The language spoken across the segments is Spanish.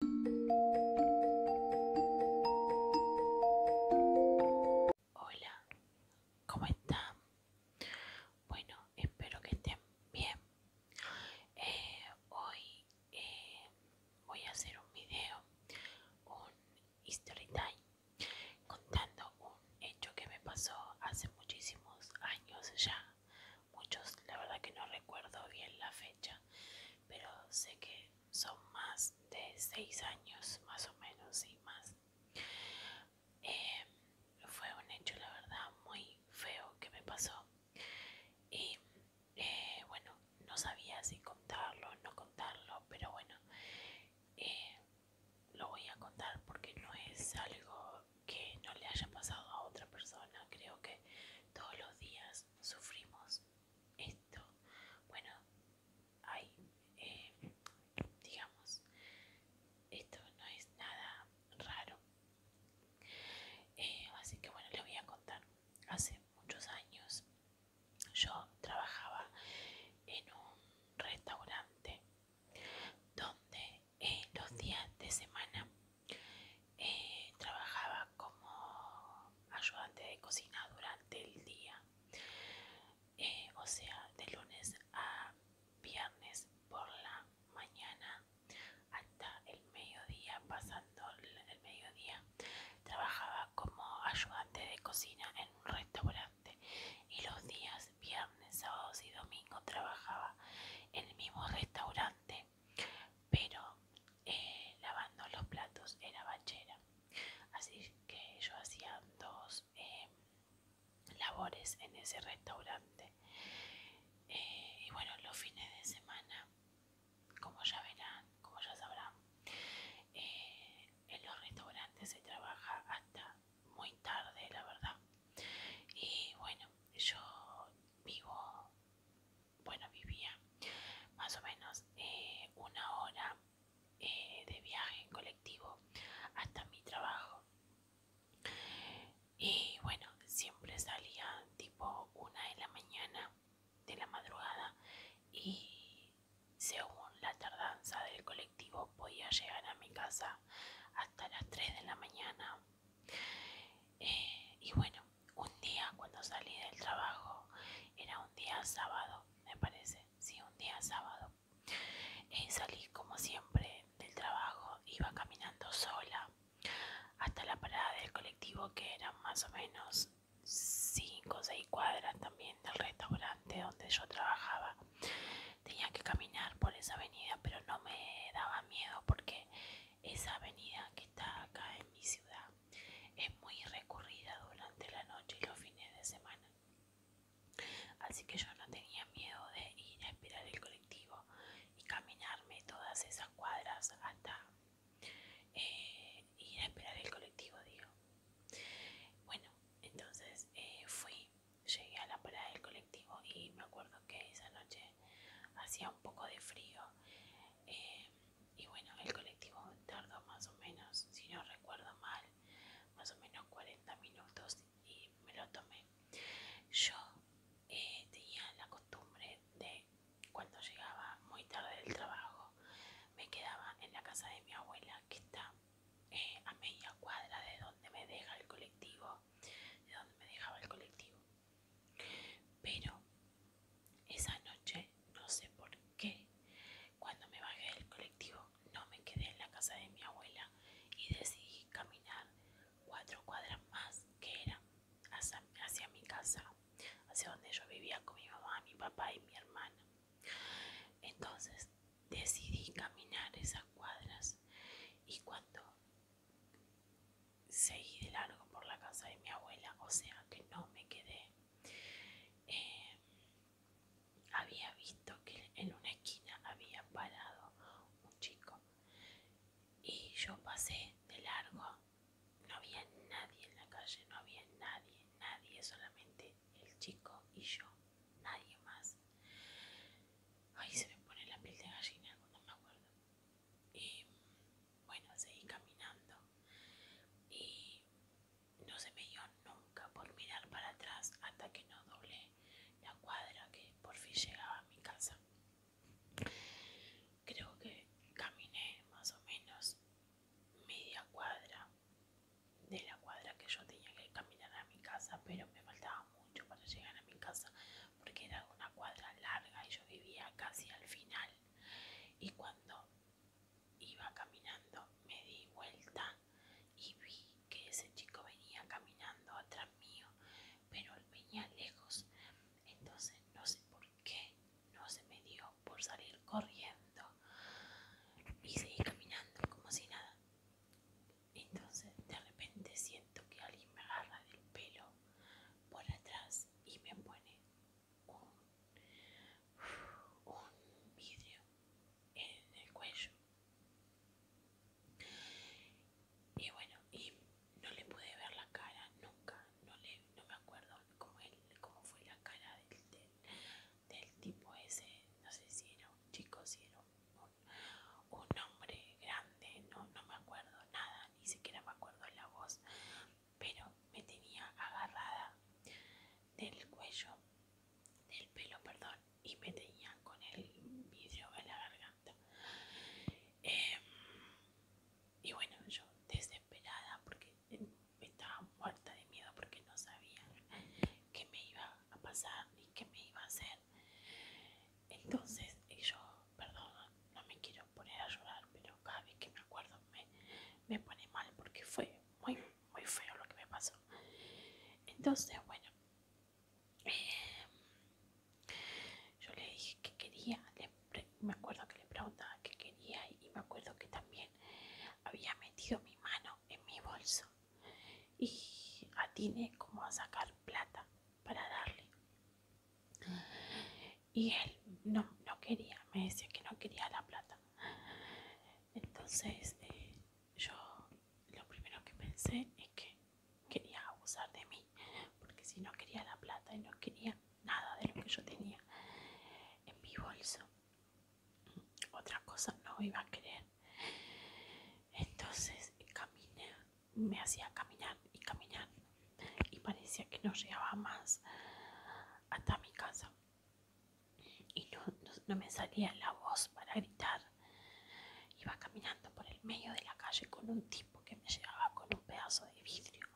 Hola, ¿cómo están? Bueno, espero que estén bien. Eh, hoy eh, voy a hacer un video, un story time, contando un hecho que me pasó hace muchísimos años ya muchos, la verdad que no recuerdo bien la fecha, pero sé que son más de seis años, más o menos, y más. Em, fue un hecho, la verdad, muy feo que me pasó. Y eh, bueno, no sabía si contarlo no contarlo, pero bueno, eh, lo voy a contar porque no es algo que no le haya pasado a otra persona. Creo que todos los días sufrimos esto. Bueno, hay, eh, digamos, esto no es nada raro. Eh, así que bueno, le voy a contar. Hace muchos años yo trabajaba en un restaurante donde eh, los días de semana eh, trabajaba como ayudante de cocina durante el día, eh, o sea, de lunes a viernes por la mañana hasta el mediodía, pasando el mediodía. Trabajaba como ayudante de cocina en un restaurante y los días viernes, sábados y domingos trabajaba en el mismo restaurante pero eh, lavando los platos era bachera. Así que yo hacía dos eh, labores en ese restaurante. Eh, y bueno, los fines de semana, como ya verán, como ya sabrán, en los restaurantes se trabaja hasta muy tarde, la verdad. Y bueno, yo vivo bueno, vivía más o menos eh, una hora eh, de viaje en colectivo hasta mi trabajo. Y bueno, siempre salía tipo una de la mañana de la madrugada y según la tardanza del colectivo podía llegar a mi casa hasta las 3 de la mañana. Eh, y bueno, un día cuando salí del trabajo, era un día sábado, me parece, sí, un día sábado. Eh, salí como siempre del trabajo, iba caminando sola hasta la parada del colectivo que eran más o menos 5 o 6 cuadras también del restaurante donde yo trabajaba. Tenía que caminar por esa avenida, pero no me daba miedo porque esa avenida que está acá en mi ciudad es muy recorrida durante la noche y los fines de semana. Así que yo no tenía miedo de ir a esperar el colectivo y caminarme todas esas cuadras hasta eh, ir a esperar el colectivo, digo. Bueno, entonces eh, fui, llegué a la parada del colectivo y me acuerdo que esa noche hacía un poco de frío eh, y bueno el colectivo tardó más o menos si no recuerdo mal más o menos 40 minutos y me lo tomé yo eh, tenía la costumbre de cuando llegaba muy tarde del trabajo me quedaba en la casa de mi abuela que está eh, a media cuadra de donde me deja el colectivo de donde me dejaba el colectivo pero esa noche, no sé por qué, cuando me bajé del colectivo, no me quedé en la casa de mi abuela y decidí caminar cuatro cuadras más que era hacia, hacia mi casa, hacia donde yo vivía con mi mamá, mi papá y mi hermana. Entonces decidí caminar esas cuadras y cuando seguí de largo por la casa de mi abuela, o sea que no me quedé. Em, había visto que en una esquina había parado un chico y yo pasé de largo. No había nadie en la calle, no había nadie, nadie, solamente el chico y yo, nadie más. Ahí se me pone la piel de gallina cuando me acuerdo. Y bueno, seguí caminando y no se me dio nunca por mirar para atrás hasta que no doblé la cuadra que por fin llegaba a mi casa. Creo que caminé más o menos media cuadra de la cuadra que yo tenía que caminar a mi casa, pero me faltaba mucho para llegar a mi casa porque era una cuadra larga y yo vivía casi al final. Y cuando iba caminando me di vuelta y vi que ese chico venía caminando atrás mío, pero venía lejos. Entonces no sé por qué no se me dio por salir corriendo y seguí caminando como si nada. Entonces de repente siento que alguien me agarra del pelo por atrás y me pone un, vidrio en el cuello. Y bueno, y no le pude ver la cara nunca, no, le, no me acuerdo cómo, fue la cara del, del, tipo ese, no sé si era un chico, si era un, un hombre grande, no, no me acuerdo nada, ni siquiera me acuerdo la voz, pero me tenía agarrada del cuello, del pelo, perdón, y me tenía con el vidrio en la garganta. Em, y bueno, yo desesperada porque me estaba muerta de miedo porque no sabía qué me iba a pasar ni qué me iba a hacer. Entonces, yo, perdón, no me quiero poner a llorar, pero cada vez que me acuerdo me, pone mal porque fue muy, muy feo lo que me pasó. Entonces, bueno, em, yo le dije que quería, me acuerdo que le preguntaba qué quería y me acuerdo que también había metido mi mano en mi bolso y atine como a sacar plata para darle. Y él no, no quería, me decía que no quería la plata. Entonces eh, yo lo primero que pensé es que quería abusar de mí, porque si no quería la plata y no quería nada de lo que yo tenía en mi bolso, otra cosa no iba a querer. Entonces caminé me hacía caminar y caminar y parecía que no llegaba más hasta mi casa y no, me salía la voz para gritar iba caminando por el medio de la calle con un tipo que me llegaba con un pedazo de vidrio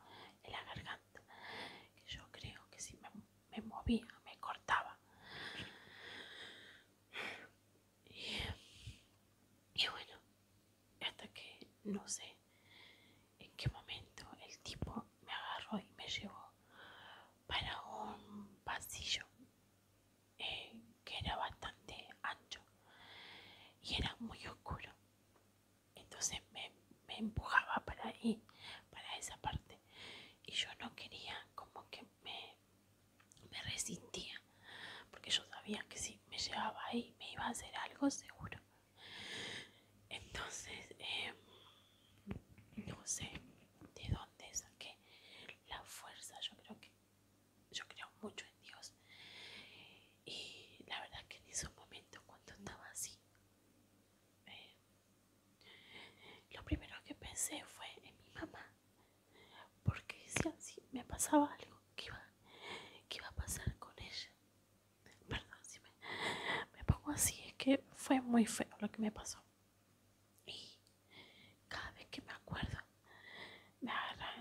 en la garganta que yo creo que si me movía me cortaba y, y bueno, hasta que no sé en qué momento el tipo me agarró y me llevó para un pasillo eh, que era bastante ancho y era muy oscuro. Entonces me, me empujaba para ahí, para esa parte. Y yo no quería como que me, me resistía, porque yo sabía que si me llevaba ahí me iba a hacer algo seguro. Entonces, em, no sé de dónde saqué la fuerza, yo creo que yo creo mucho en Dios. Y la verdad que en ese momento cuando estaba así, em, lo primero que pensé fue en mi mamá porque si así me pasaba algo que iba, iba a pasar con ella perdón si me, pongo así es que fue muy feo lo que me pasó y cada vez que me acuerdo me agarra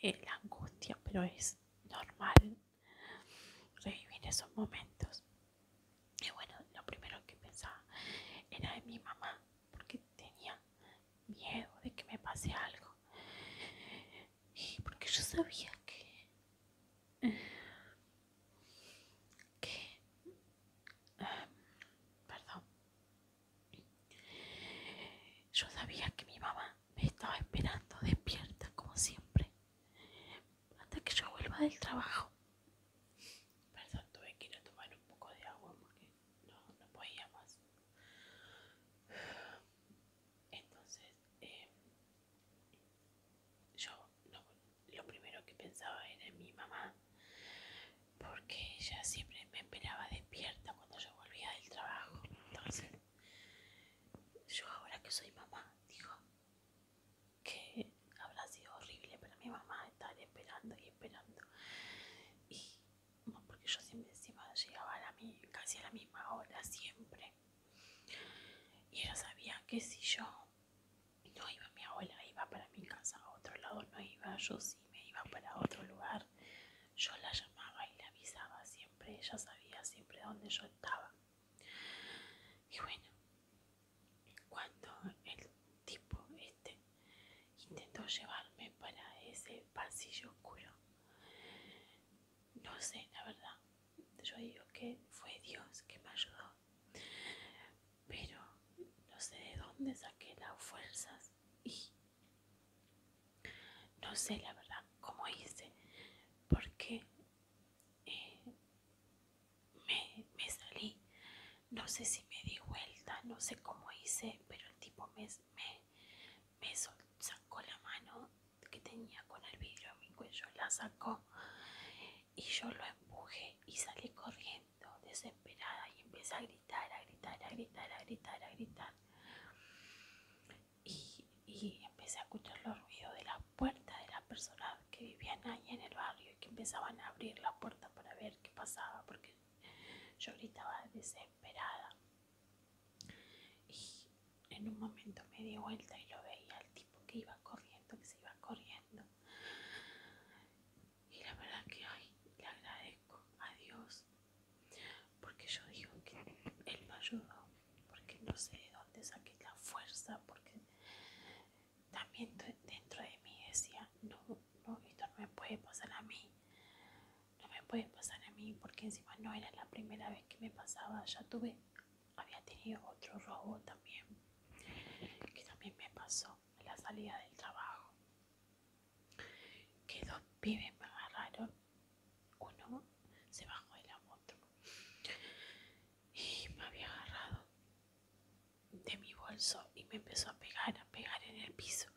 la angustia pero es normal revivir esos momentos y bueno lo primero que pensaba era de mi mamá porque tenía miedo de que me pase algo. Y porque yo sabía que... que... Em, perdón. Yo sabía que mi mamá me estaba esperando despierta como siempre. Hasta que yo vuelva del trabajo. Perdón, tuve que ir a tomar un poco de agua no, no podíamos. Entonces, eh, yo lo primero que pensaba era en mi mamá, porque ella siempre me esperaba despierta cuando yo volvía del trabajo. Entonces, yo ahora que soy mamá, dijo que habrá sido horrible para mi mamá estar esperando y esperando porque yo siempre encima llegaba a casi a la misma hora siempre. Y ella sabía que si yo no iba, mi abuela iba para mi casa, a otro lado no iba, yo sí me iba para otro lugar, yo la llamaba y la avisaba siempre, ella sabía siempre dónde yo estaba. Y bueno, cuando el tipo este Intentó llevarme para ese pasillo oscuro. No sé, la verdad. Yo digo que fue Dios que me ayudó. Pero no sé de dónde saqué las fuerzas y no sé, la verdad, cómo hice. Porque eh, me, me salí. No sé si me di vuelta, no sé cómo hice, pero el tipo me, me, me sacó la mano que tenía con el vidrio en mi cuello, la sacó y yo lo empujé y salí corriendo desesperada y empecé a gritar, a gritar, a gritar, a gritar, a gritar. Y, empecé a escuchar los ruidos de la puerta de las personas que vivían ahí en el barrio y que empezaban a abrir la puerta para ver qué pasaba, porque yo ahorita estaba desesperada. Y en un momento me di vuelta y lo veía al tipo que iba corriendo, que se iba corriendo. Y la verdad que hoy le agradezco a Dios. Porque yo digo que Él me ayudó. Porque no sé de dónde saqué la fuerza. Porque también dentro de mí decía, no, no, esto no me puede pasar a mí, no me puede pasar a mí, porque encima no era la primera vez que me pasaba, ya tuve, había tenido otro robo también, que también me pasó en la salida del trabajo, que dos pibes me agarraron, uno se bajó de la moto y me había agarrado de mi bolso y me empezó a pegar, a pegar en el piso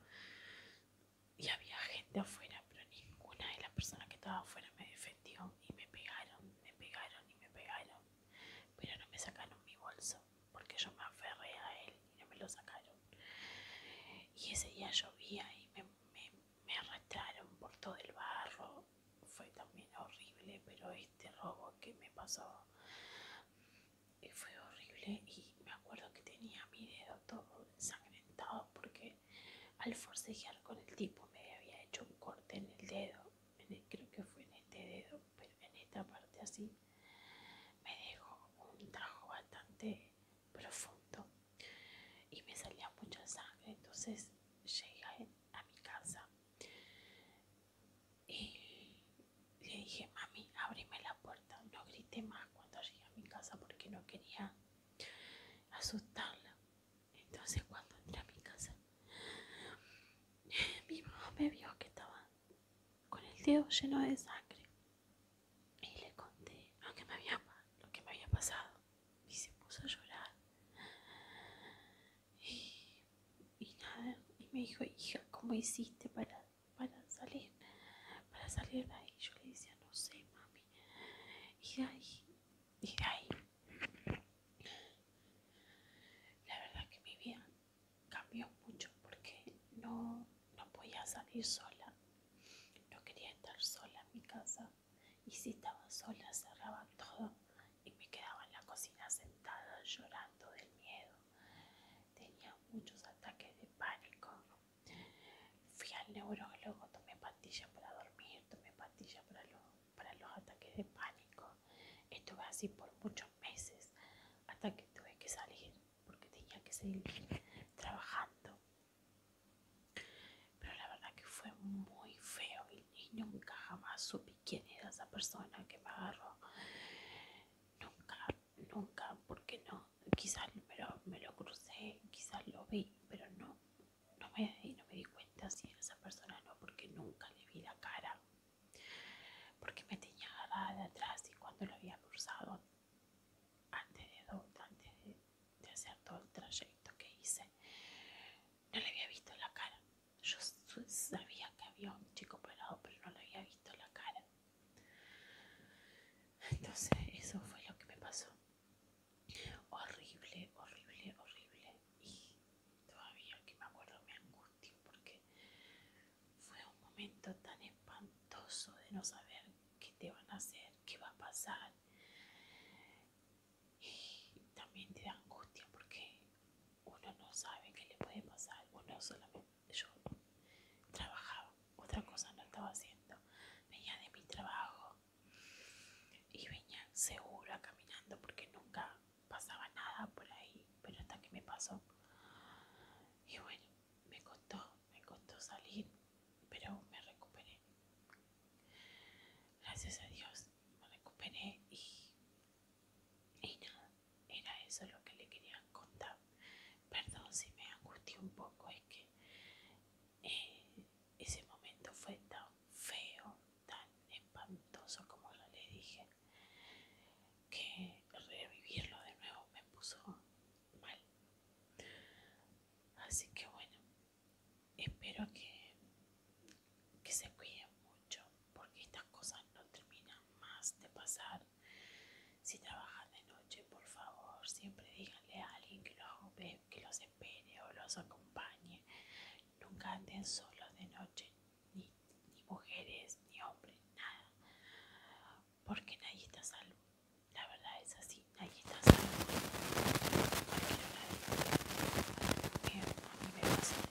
y había gente afuera, pero ninguna de las personas que estaba afuera me defendió y me pegaron, me pegaron y me pegaron, pero no me sacaron mi bolso porque yo me aferré a él y no me lo sacaron. Y ese día llovía y me, me, arrastraron por todo el barro, fue también horrible, pero este robo que me pasó eh, fue horrible y me acuerdo que tenía mi dedo todo ensangrentado porque al forcejear con el tipo me había hecho un corte en el dedo, creo que fue en este dedo, pero en esta parte así me dejó un trajo bastante profundo y me salía mucha sangre, entonces llegué a mi casa y le dije, mami, ábreme la puerta. No grité más cuando llegué a mi casa porque no quería asustarla. Entonces cuando entré a mi casa, mi mamá me vio que estaba con el dedo lleno de sangre. Y le conté lo que me había, lo que me había pasado. Y se puso a llorar. Y, y nada, y me dijo, hija, ¿cómo hiciste para para salir, para salir de ahí. Yo le decía, no sé, mami. Y ahí, y ahí. La verdad que mi vida cambió mucho porque no, no podía salir sola. No quería estar sola en mi casa. Y si estaba sola, cerraba todo y me quedaba en la cocina sentada llorando del miedo tenía muchos ataques de pánico. Fui al neurólogo, tomé pastillas para dormir, tomé pastillas para, para los ataques de pánico. Estuve así por muchos meses hasta que tuve que salir porque tenía que seguir trabajando. Pero la verdad que fue muy feo y, nunca jamás supe quién era esa persona que me agarró. Nunca nunca, porque no, quizás me lo, me lo crucé, quizás lo vi, pero no, no me, di cuenta si era esa persona no, porque nunca le vi la cara, porque me tenía agarrada de atrás y cuando lo había cruzado, antes de, antes de, hacer todo el trayecto que hice, no le había visto la cara. Yo sabía que había un chico por lado, pero no le había visto la cara. Entonces eso fue lo que me pasó. Horrible, horrible, horrible. Y todavía que me acuerdo me angustia porque fue un momento tan espantoso de no saber qué te van a hacer, qué va a pasar. Y también te da angustia porque uno no sabe qué le puede pasar, uno solamente yo trabajaba, otra cosa no estaba haciendo. Venía de mi trabajo y venía segura caminando porque nunca pasaba nada por ahí, pero hasta que me pasó. Y bueno, me costó, me costó salir, pero me recuperé. Gracias a Dios me recuperé y y nada, era eso lo que le quería contar. Perdón si me angustié un poco, es que eh, ese momento fue tan feo, tan espantoso como lo le dije, que revivirlo de nuevo me puso mal. Así que bueno, espero que, que se cuiden mucho, porque estas cosas no terminan más de pasar. Si trabajan de noche, por favor, siempre díganle a alguien que los, que los espere o los acompañe. Nunca anden solos de noche, ni, mujeres, ni hombres, nada. Porque nadie está salvo. La verdad es así, nadie está salvo. Eh,